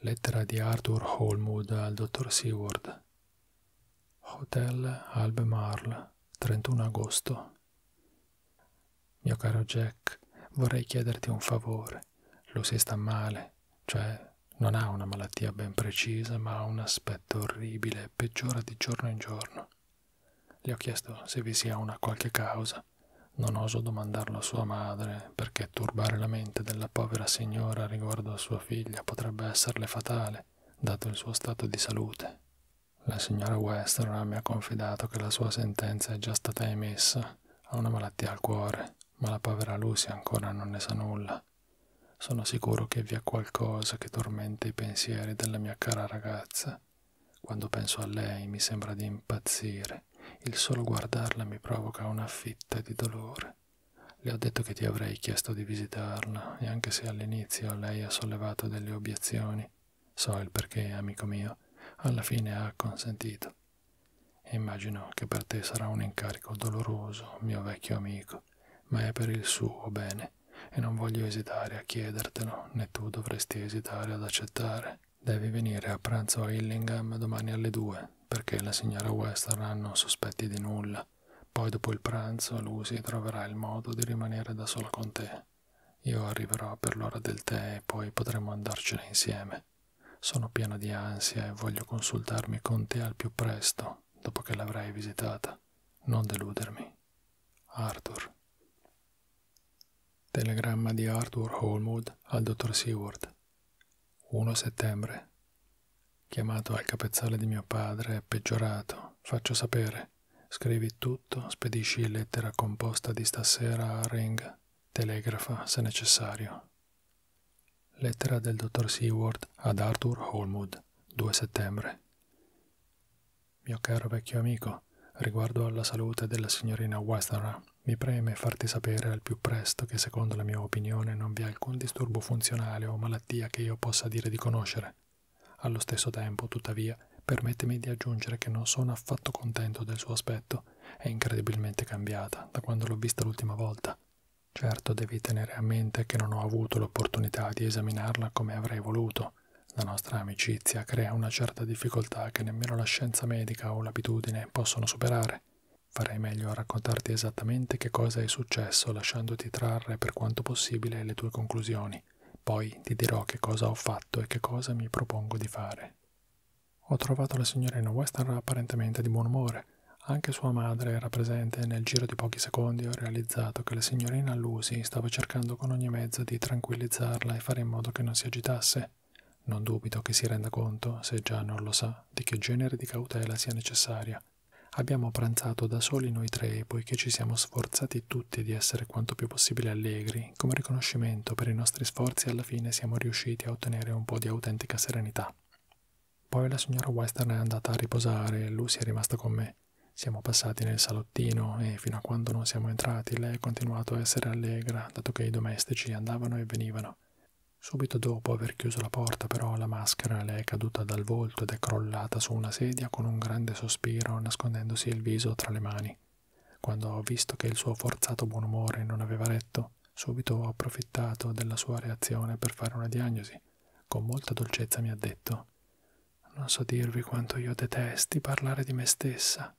Lettera di Arthur Holmwood al dottor Seward. Hotel Albemarle, 31 agosto. Mio caro Jack, vorrei chiederti un favore. Lucy sta male, cioè non ha una malattia ben precisa, ma ha un aspetto orribile e peggiora di giorno in giorno. Le ho chiesto se vi sia una qualche causa casa. Non oso domandarlo a sua madre, perché turbare la mente della povera signora riguardo a sua figlia potrebbe esserle fatale, dato il suo stato di salute. La signora Western mi ha confidato che la sua sentenza è già stata emessa, ha una malattia al cuore, ma la povera Lucy ancora non ne sa nulla. Sono sicuro che vi è qualcosa che tormenta i pensieri della mia cara ragazza. Quando penso a lei mi sembra di impazzire dolce, il solo guardarla mi provoca una fitta di dolore. Le ho detto che ti avrei chiesto di visitarla e anche se all'inizio lei ha sollevato delle obiezioni, so il perché, amico mio, alla fine ha consentito. E immagino che per te sarà un incarico doloroso, mio vecchio amico, ma è per il suo bene e non voglio esitare a chiedertelo, né tu dovresti esitare ad accettare Devi venire a pranzo a Hillingham domani alle 2 perché la signora Western ha non sospetti di nulla. Poi dopo il pranzo Lucy troverà il modo di rimanere da sola con te. Io arriverò per l'ora del tè e poi potremo andarcene insieme. Sono pieno di ansia e voglio consultarmi con te al più presto, dopo che l'avrai visitata. Non deludermi. Arthur. Telegramma di Arthur Holmwood al dottor Seward. 1 settembre. Chiamato al capezzale di mio padre, peggiorato, faccio sapere. Scrivi tutto, spedisci lettera composta di stasera a Ring, telegrafa se necessario. Lettera del dottor Seward ad Arthur Holmwood, 2 settembre. Mio caro vecchio amico, riguardo alla salute della signorina Westenra, mi preme farti sapere al più presto che secondo la mia opinione non vi è alcun disturbo funzionale o malattia che io possa dire di conoscere. Allo stesso tempo, tuttavia, permettimi di aggiungere che non sono affatto contento del suo aspetto. È incredibilmente cambiata da quando l'ho vista l'ultima volta. Certo devi tenere a mente che non ho avuto l'opportunità di esaminarla come avrei voluto. La nostra amicizia crea una certa difficoltà che nemmeno la scienza medica o l'abitudine possono superare. Farei meglio a raccontarti esattamente che cosa è successo lasciandoti trarre per quanto possibile le tue conclusioni. Poi ti dirò che cosa ho fatto e che cosa mi propongo di fare. Ho trovato la signorina Western apparentemente di buon umore. Anche sua madre era presente e nel giro di pochi secondi ho realizzato che la signorina Lucy stava cercando con ogni mezzo di tranquillizzarla e fare in modo che non si agitasse. Non dubito che si renda conto, se già non lo sa, di che genere di cautela sia necessaria. Abbiamo pranzato da soli noi tre, poiché ci siamo sforzati tutti di essere quanto più possibile allegri, come riconoscimento per i nostri sforzi alla fine siamo riusciti a ottenere un po' di autentica serenità. Poi la signora Western è andata a riposare e Lucy è rimasta con me. Siamo passati nel salottino e fino a quando non siamo entrati lei ha continuato a essere allegra, dato che i domestici andavano e venivano. Subito dopo aver chiuso la porta però la maschera le è caduta dal volto ed è crollata su una sedia con un grande sospiro nascondendosi il viso tra le mani. Quando ho visto che il suo forzato buon umore non aveva retto, subito ho approfittato della sua reazione per fare una diagnosi. Con molta dolcezza mi ha detto Non so dirvi quanto io detesti parlare di me stessa.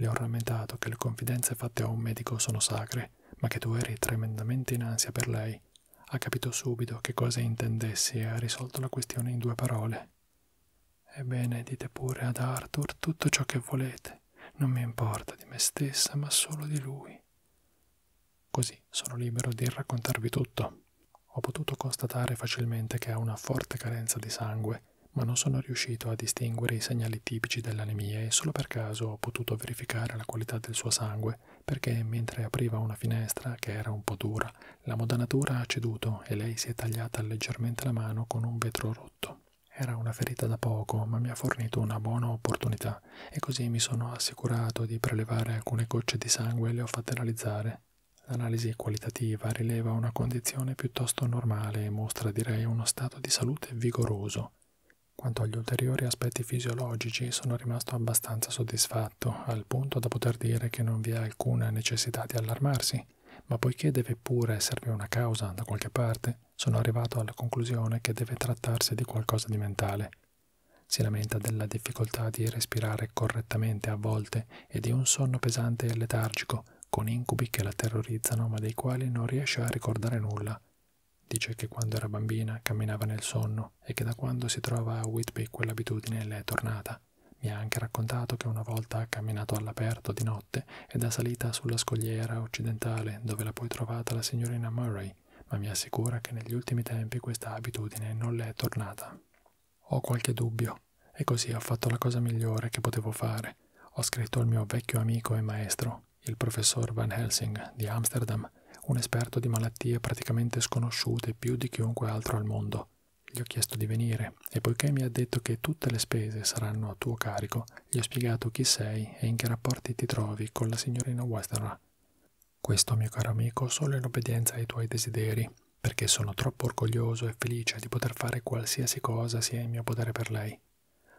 Le ho rammentato che le confidenze fatte a un medico sono sacre, ma che tu eri tremendamente in ansia per lei. Ha capito subito che cosa intendessi e ha risolto la questione in due parole. Ebbene, dite pure ad Arthur tutto ciò che volete. Non mi importa di me stessa, ma solo di lui. Così sono libero di raccontarvi tutto. Ho potuto constatare facilmente che ha una forte carenza di sangue, ma non sono riuscito a distinguere i segnali segnali tipici dell'anemia e solo per caso ho potuto verificare la qualità del suo sangue perché mentre apriva una finestra che era un po' dura, la modanatura ha ceduto e lei si è tagliata leggermente la mano con un vetro rotto. Era una ferita da poco, ma mi ha fornito una buona opportunità e così mi sono assicurato di prelevare alcune gocce di sangue e le ho fatte analizzare. L'analisi qualitativa rileva una condizione piuttosto normale e mostra direi uno stato di salute vigoroso. Quanto agli ulteriori aspetti fisiologici sono rimasto abbastanza soddisfatto, al punto da poter dire che non vi è alcuna necessità di allarmarsi, ma poiché deve pure esservi una causa da qualche parte, sono arrivato alla conclusione che deve trattarsi di qualcosa di mentale. Si lamenta della difficoltà di respirare correttamente a volte e di un sonno pesante e letargico, con incubi che la terrorizzano ma dei quali non riesce a ricordare nulla. Dice che quando era bambina camminava nel sonno e che da quando si trova a Whitby quell'abitudine le è tornata. Mi ha anche raccontato che una volta ha camminato all'aperto di notte ed è salita sulla scogliera occidentale dove l'ha poi trovata la signorina Murray, ma mi assicura che negli ultimi tempi questa abitudine non le è tornata. Ho qualche dubbio, e così ho fatto la cosa migliore che potevo fare. Ho scritto al mio vecchio amico e maestro italiano, il professor Van Helsing di Amsterdam, un esperto di malattie praticamente sconosciute più di chiunque altro al mondo. Gli ho chiesto di venire e poiché mi ha detto che tutte le spese saranno a tuo carico, gli ho spiegato chi sei e in che rapporti ti trovi con la signorina Westerra. Questo, mio caro amico, solo in obbedienza ai tuoi desideri, perché sono troppo orgoglioso e felice di poter fare qualsiasi cosa sia in mio potere per lei.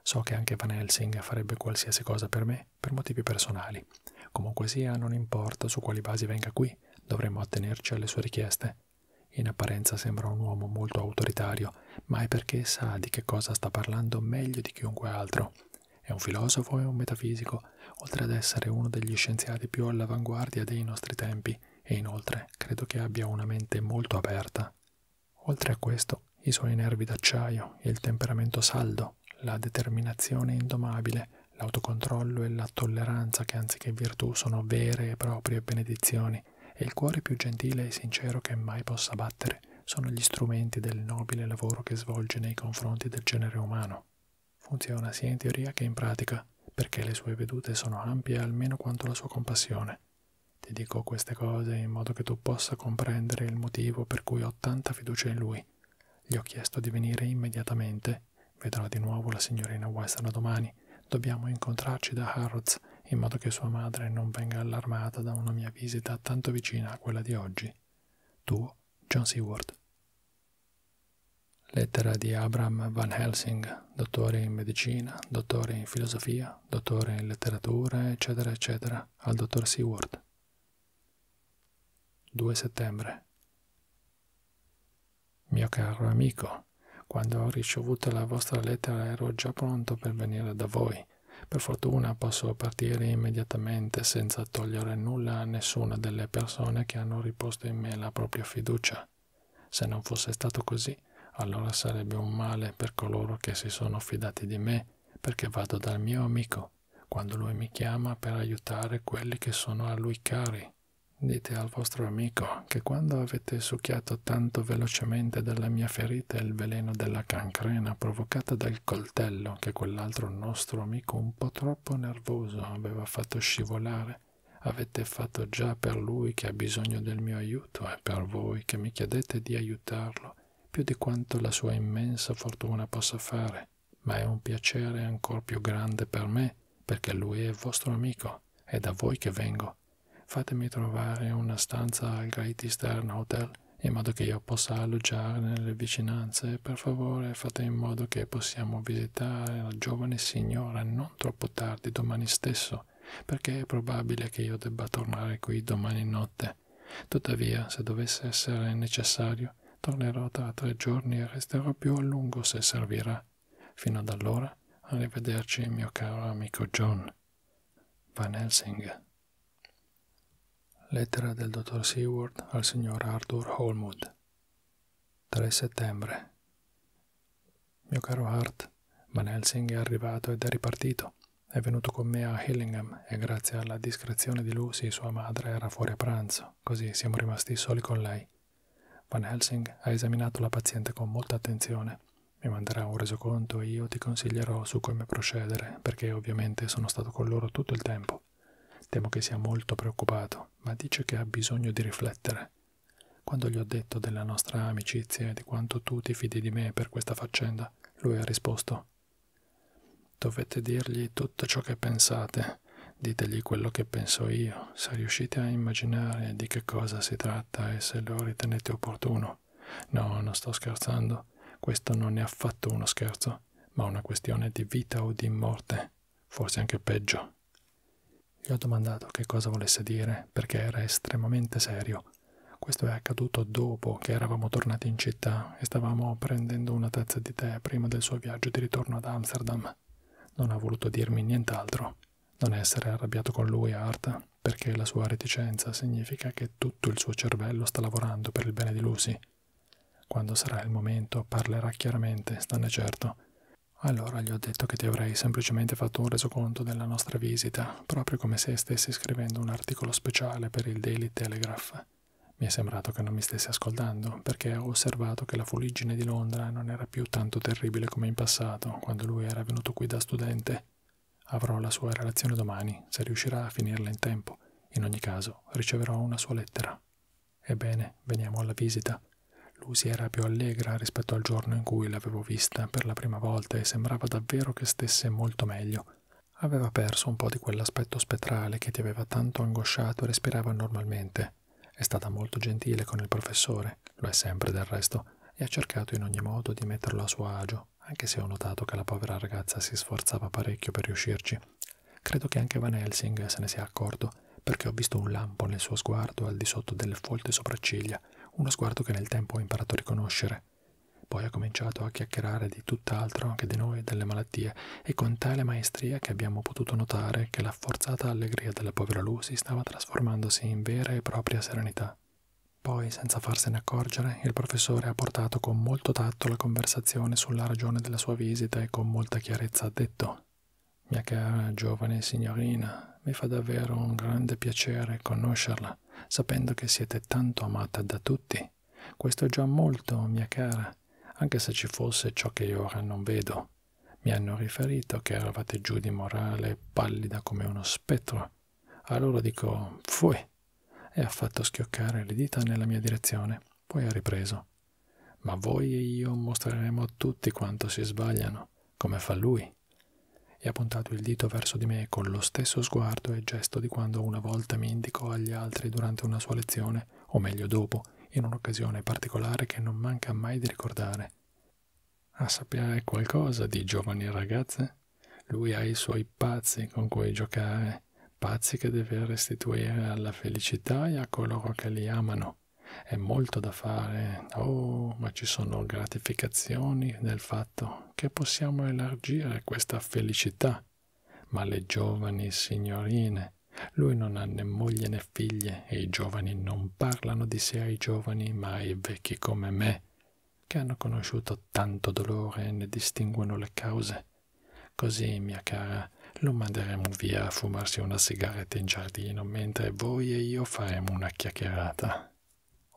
So che anche Van Helsing farebbe qualsiasi cosa per me, per motivi personali. Comunque sia, non importa su quali basi venga qui, dovremmo attenerci alle sue richieste. In apparenza sembra un uomo molto autoritario, ma è perché sa di che cosa sta parlando meglio di chiunque altro. È un filosofo e un metafisico, oltre ad essere uno degli scienziati più all'avanguardia dei nostri tempi, e inoltre credo che abbia una mente molto aperta. Oltre a questo, i suoi nervi d'acciaio, il temperamento saldo, la determinazione indomabile, l'autocontrollo e la tolleranza che anziché virtù sono vere e proprie benedizioni, e il cuore più gentile e sincero che mai possa battere, sono gli strumenti del nobile lavoro che svolge nei confronti del genere umano. Funziona sia in teoria che in pratica, perché le sue vedute sono ampie almeno quanto la sua compassione. Ti dico queste cose in modo che tu possa comprendere il motivo per cui ho tanta fiducia in lui. Gli ho chiesto di venire immediatamente. Vedrò di nuovo la signorina Western domani. Dobbiamo incontrarci da Harrods in modo che sua madre non venga allarmata da una mia visita tanto vicina a quella di oggi. Tuo John Seward. Lettera di Abram Van Helsing, dottore in medicina, dottore in filosofia, dottore in letteratura, eccetera, eccetera, mattina al dottor Seward. 2 settembre. Mio caro amico, quando ho ricevuto la vostra lettera ero già pronto per venire da voi. Per fortuna posso partire immediatamente senza togliere nulla a nessuna delle persone che hanno riposto in me la propria fiducia. Se non fosse stato così, allora sarebbe un male per coloro che si sono fidati di me perché vado dal mio amico quando lui mi chiama per aiutare quelli che sono a lui cari. Dite al vostro amico che quando avete succhiato tanto velocemente dalla mia ferita il veleno della cancrena provocata dal coltello che quell'altro nostro amico un po' troppo nervoso aveva fatto scivolare, avete fatto già per lui che ha bisogno del mio aiuto e per voi che mi chiedete di aiutarlo più di quanto la sua immensa fortuna possa fare, ma è un piacere ancor più grande per me, perché lui è vostro amico, è da voi che vengo. Fatemi trovare una stanza al Great Eastern Hotel, in modo che io possa alloggiare nelle vicinanze. Per favore fate in modo che possiamo visitare la giovane signora non troppo tardi domani stesso, perché è probabile che io debba tornare qui domani notte. Tuttavia, se dovesse essere necessario, tornerò tra tre giorni e resterò più a lungo se servirà. Fino ad allora, arrivederci, mio caro amico John. Van Helsing. Lettera del dottor Seward al signor Arthur Holmwood. 3 settembre. Mio caro Hart, Van Helsing è arrivato ed è ripartito. È venuto con me a Hillingham e grazie alla discrezione di Lucy sua madre era fuori a pranzo, così siamo rimasti soli con lei. Van Helsing ha esaminato la paziente con molta attenzione. Mi manderà un resoconto e io ti consiglierò su come procedere, perché ovviamente sono stato con loro tutto il tempo. Temo che sia molto preoccupato, ma dice che ha bisogno di riflettere. Quando gli ho detto della nostra amicizia e di quanto tu ti fidi di me per questa faccenda, lui ha risposto Dovete dirgli tutto ciò che pensate, ditegli quello che penso io, se riuscite a immaginare di che cosa si tratta e se lo ritenete opportuno. No, non sto scherzando, questo non è affatto uno scherzo, ma una questione di vita o di morte, forse anche peggio. Gli ho domandato che cosa volesse dire, perché era estremamente serio questo è accaduto dopo che eravamo tornati in città e stavamo prendendo una tazza di tè prima del suo viaggio di ritorno ad Amsterdam. Non ha voluto dirmi nient'altro. Non essere arrabbiato con lui, Art, perché la sua reticenza significa che tutto il suo cervello sta lavorando per il bene di Lucy. Quando sarà il momento parlerà chiaramente, stanne certo. Allora gli ho detto che ti avrei semplicemente fatto un resoconto della nostra visita proprio come se stessi scrivendo un articolo speciale per il Daily Telegraph. Mi è sembrato che non mi stesse ascoltando, perché ho osservato che la fuliggine di Londra non era più tanto terribile come in passato, quando lui era venuto qui da studente. Avrò la sua relazione domani, se riuscirà a finirla in tempo. In ogni caso, riceverò una sua lettera. Ebbene, veniamo alla visita. Lucy era più allegra rispetto al giorno in cui l'avevo vista per la prima volta e sembrava davvero che stesse molto meglio. Aveva perso un po' di quell'aspetto spettrale che ti aveva tanto angosciato e respirava normalmente. È stata molto gentile con il professore, lo è sempre del resto, e ha cercato in ogni modo di metterlo a suo agio, anche se ho notato che la povera ragazza si sforzava parecchio per riuscirci. Credo che anche Van Helsing se ne sia accorto, perché ho visto un lampo nel suo sguardo al di sotto delle folte sopracciglia, uno sguardo che nel tempo ho imparato a riconoscere, me. Poi ha cominciato a chiacchierare di tutt'altro che di noi e delle malattie, e con tale maestria che abbiamo potuto notare che la forzata allegria della povera Lucy stava trasformandosi in vera e propria serenità. Poi, senza farsene accorgere, il professore ha portato con molto tatto la conversazione sulla ragione della sua visita e con molta chiarezza ha detto Mia cara giovane signorina, mi fa davvero un grande piacere conoscerla, sapendo che siete tanto amata da tutti me. Questo è già molto, mia cara, anche se ci fosse ciò che io ora non vedo. Mi hanno riferito che eravate giù di morale, pallida come uno spettro. Allora dico, fui, e ha fatto schioccare le dita nella mia direzione. Poi ha ripreso. Ma voi e io mostreremo a tutti quanto si sbagliano, come fa lui. E ha puntato il dito verso di me con lo stesso sguardo sguardo e gesto di quando una volta mi indicò agli altri durante una sua lezione, o meglio dopo, in un'occasione particolare che non manca mai di ricordare. A ah, sapere qualcosa di giovani ragazze? Lui ha i suoi pazzi con cui giocare, pazzi che deve restituire alla felicità e a coloro che li amano. È molto da fare, oh, ma ci sono gratificazioni nel fatto che possiamo elargire questa felicità ma le giovani signorine, lui non ha né moglie né figlie e i giovani non parlano di sé ai giovani, ma ai vecchi come me, che hanno conosciuto tanto dolore e ne distinguono le cause. Così, mia cara, lo manderemo via a fumarsi una sigaretta in giardino, mentre voi e io faremo una chiacchierata.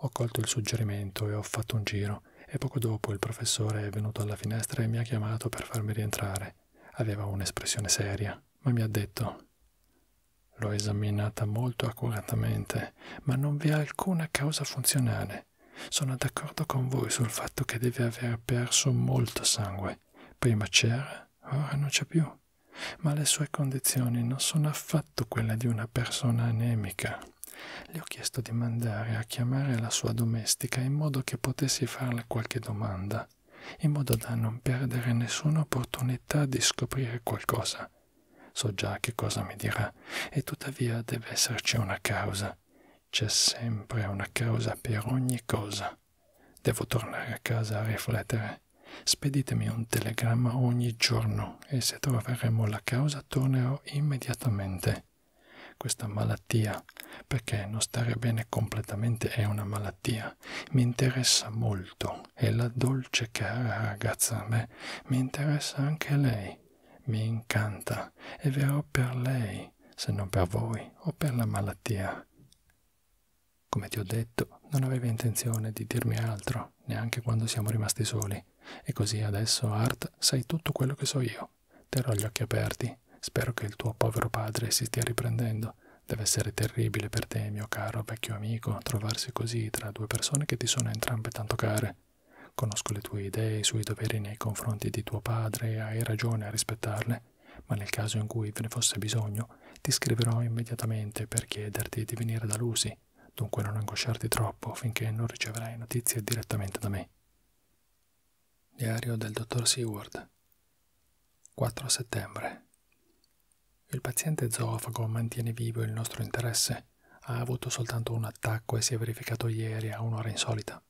Ho colto il suggerimento e ho fatto un giro lavoro e poco dopo il professore è venuto alla finestra e mi ha chiamato per farmi rientrare. Aveva un'espressione seria, ma mi ha detto L'ho esaminata molto accuratamente, ma non vi è alcuna causa funzionale. Sono d'accordo con voi sul fatto che deve aver perso molto sangue. Prima c'era, ora non c'è più. Ma le sue condizioni non sono affatto quelle di una persona anemica. Le ho chiesto di mandare a chiamare la sua domestica in modo che potessi farle qualche domanda, in modo da non perdere nessuna opportunità di scoprire qualcosa. So già che cosa mi dirà, e tuttavia deve esserci una causa. C'è sempre una causa per ogni cosa. Devo tornare a casa a riflettere. Speditemi un telegramma ogni giorno e se troveremo la causa tornerò immediatamente questa malattia, perché non stare bene completamente è una malattia, mi interessa molto e la dolce cara ragazza a me mi interessa anche lei, mi incanta e verrò per lei, se non per voi o per la malattia. Come ti ho detto, non aveva intenzione di dirmi altro, neanche quando siamo rimasti soli, e così adesso, Art, sai tutto quello che so io. Terrò gli occhi aperti. Spero che il tuo povero padre si stia riprendendo. Deve essere terribile per te, mio caro vecchio amico, trovarsi così tra due persone che ti sono entrambe tanto care. Conosco le tue idee, i suoi doveri nei confronti di tuo padre e hai ragione a rispettarle, ma nel caso in cui ve ne fosse bisogno, ti scriverò immediatamente per chiederti di venire da Lucy, dunque non angosciarti troppo finché non riceverai notizie direttamente da me. Diario del dottor Seward 4 settembre Il paziente zoofago mantiene vivo il nostro interesse. Ha avuto soltanto un attacco e si è verificato ieri a un'ora insolita.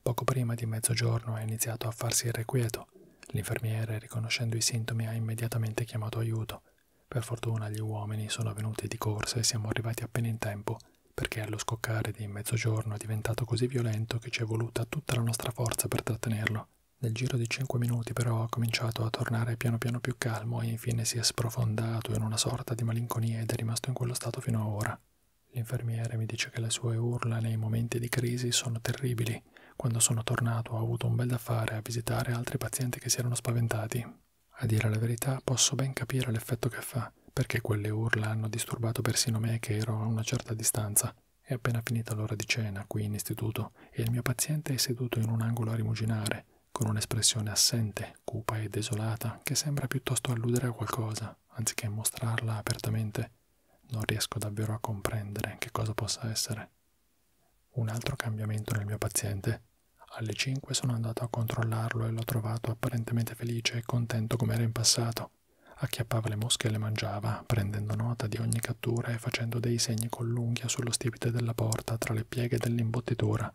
Poco prima di mezzogiorno ha iniziato a farsi irrequieto. L'infermiere, riconoscendo i sintomi, ha immediatamente chiamato aiuto. Per fortuna gli uomini sono venuti di corsa e siamo arrivati appena in tempo perché allo scoccare di mezzogiorno è diventato così violento che ci è voluta tutta la nostra forza per trattenerlo. Nel giro di cinque minuti però ha cominciato a tornare piano piano più calmo e infine si è sprofondato in una sorta di malinconia ed è rimasto in quello stato fino ad ora. L'infermiere mi dice che le sue urla nei momenti di crisi sono terribili. Quando sono tornato ho avuto un bel da fare a visitare altri pazienti che si erano spaventati. A dire la verità posso ben capire l'effetto che fa urla, perché quelle urla hanno disturbato persino me che ero a una certa distanza. È appena finita l'ora di cena qui in istituto e il mio paziente è seduto in un angolo a rimuginare, con un'espressione assente, cupa e desolata, che sembra piuttosto alludere a qualcosa, anziché mostrarla apertamente. Non riesco davvero a comprendere che cosa possa essere. Un altro cambiamento nel mio paziente. Alle 5 sono andato a controllarlo e l'ho trovato apparentemente felice e contento come era in passato. Acchiappava le mosche e le mangiava, prendendo nota di ogni cattura e facendo dei segni con l'unghia sullo stipite della porta tra le pieghe dell'imbottitura.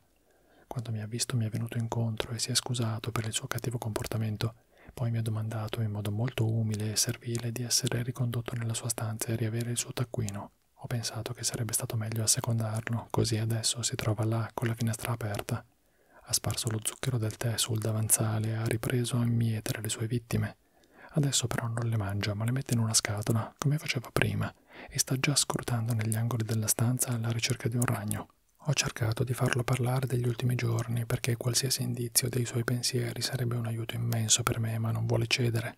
Quando mi ha visto mi è venuto incontro e si è scusato per il suo cattivo comportamento. Poi mi ha domandato in modo molto umile e servile di essere ricondotto nella sua stanza e riavere il suo taccuino. Ho pensato che sarebbe stato meglio assecondarlo, così adesso si trova là con la finestra aperta bocca, ha sparso lo zucchero del tè sul davanzale, ha ripreso a mietere le sue vittime. Adesso però non le mangia, ma le mette in una scatola, come faceva prima, e sta già scrutando negli angoli della stanza alla ricerca di un ragno. Ho cercato di farlo parlare degli ultimi giorni perché qualsiasi indizio dei suoi pensieri sarebbe un aiuto immenso per me, ma non vuole cedere.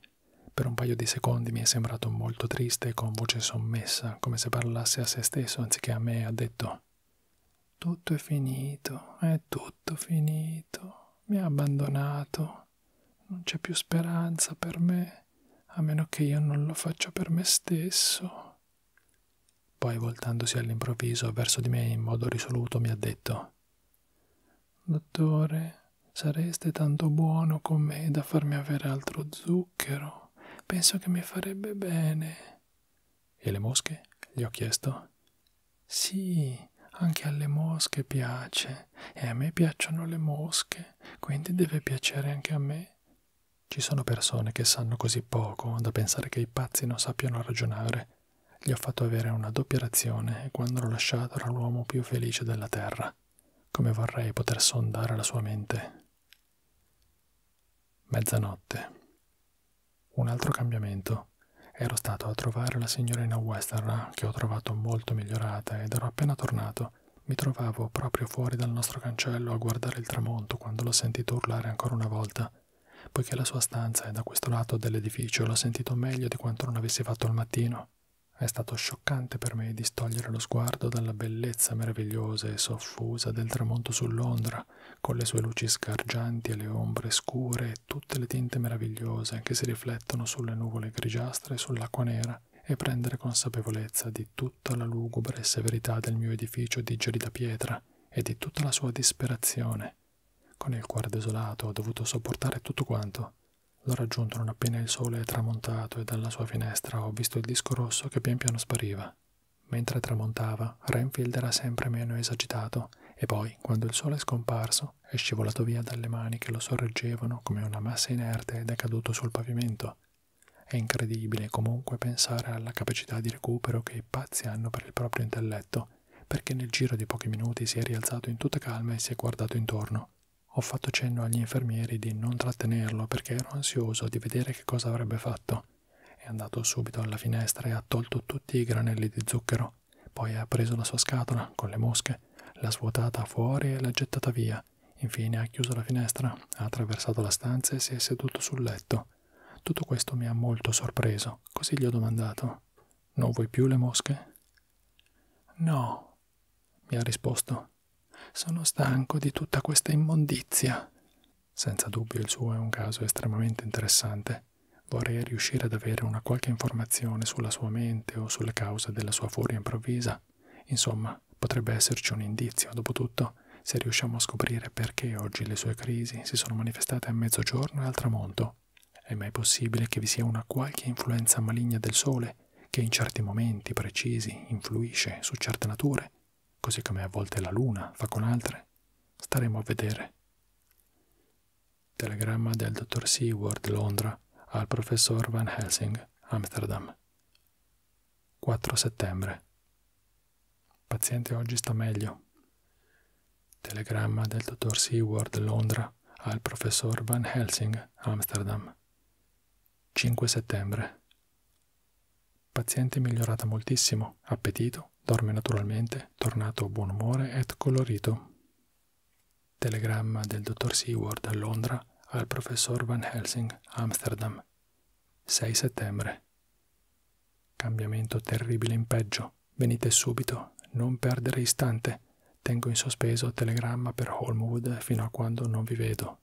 Per un paio di secondi mi è sembrato molto triste e con voce sommessa, come se parlasse a se stesso anziché a me, ha detto tutto è finito, è tutto finito, mi ha abbandonato, non c'è più speranza per me, a meno che io non lo faccia per me stesso. Poi voltandosi all'improvviso verso di me in modo risoluto mi ha detto Dottore, sareste tanto buono con me da farmi avere altro zucchero. Penso che mi farebbe bene. E le mosche? gli ho chiesto. Sì, anche alle mosche piace, e a me piacciono le mosche, quindi deve piacere anche a me. Ci sono persone che sanno così poco da pensare che i pazzi non sappiano ragionare. Gli ho fatto avere una doppia razione e quando l'ho lasciato era l'uomo più felice della terra. Come vorrei poter sondare la sua mente. Mezzanotte. Un altro cambiamento. Ero stato a trovare la signorina Westerra, che ho trovato molto migliorata ed ero appena tornato. Mi trovavo proprio fuori dal nostro cancello a guardare il tramonto quando l'ho sentito urlare ancora una volta. Poiché la sua stanza è da questo lato dell'edificio, l'ho sentito meglio di quanto non avessi fatto al mattino. È stato scioccante per me distogliere lo sguardo dalla bellezza meravigliosa e soffusa del tramonto su Londra terra, con le sue luci sgargianti e le ombre scure e tutte le tinte meravigliose che si riflettono sulle nuvole grigiastre e sull'acqua nera, e prendere consapevolezza di tutta la lugubre severità del mio edificio di gelida pietra e di tutta la sua disperazione. Con il cuore desolato ho dovuto sopportare tutto quanto. L'ho raggiunto non appena il sole è tramontato e dalla sua finestra ho visto il disco rosso che pian piano spariva. Mentre tramontava, Renfield era sempre meno esagitato e poi, quando il sole è scomparso, è scivolato via dalle mani che lo sorreggevano come una massa inerte ed è caduto sul pavimento. È incredibile comunque pensare alla capacità di recupero che i pazzi hanno per il proprio intelletto, perché nel giro di pochi minuti si è rialzato in tutta calma e si è guardato intorno. Ho fatto cenno agli infermieri di non trattenerlo perché ero ansioso di vedere che cosa avrebbe fatto è andato subito alla finestra e ha tolto tutti i granelli di zucchero. Poi ha preso la sua scatola con le mosche, l'ha svuotata fuori e l'ha gettata via. Infine ha chiuso la finestra, ha attraversato la stanza e si è seduto sul letto. Tutto questo mi ha molto sorpreso, così gli ho domandato: Non vuoi più le mosche? No, mi ha risposto. Sono stanco di tutta questa immondizia. Senza dubbio il suo è un caso estremamente interessante. Vorrei riuscire ad avere una qualche informazione sulla sua mente o sulle cause della sua furia improvvisa. Insomma, potrebbe esserci un indizio, dopo tutto, se riusciamo a scoprire perché oggi le sue crisi si sono manifestate a mezzogiorno e al tramonto. È mai possibile che vi sia una qualche influenza maligna del sole che in certi momenti precisi influisce su certe nature, così come a volte la luna fa con altre, staremo a vedere. Telegramma del dottor Seward Londra al professor Van Helsing, Amsterdam. 4 settembre. Paziente oggi sta meglio. Telegramma del dottor Seward Londra al professor Van Helsing, Amsterdam. 5 settembre. Paziente migliorata moltissimo, appetito, dorme naturalmente, tornato buon umore ed colorito. Telegramma del dottor Seward a Londra al professor Van Helsing, Amsterdam, 6 settembre. Cambiamento terribile in peggio. Venite subito, non perdere istante. Tengo in sospeso telegramma per Holmwood fino a quando non vi vedo.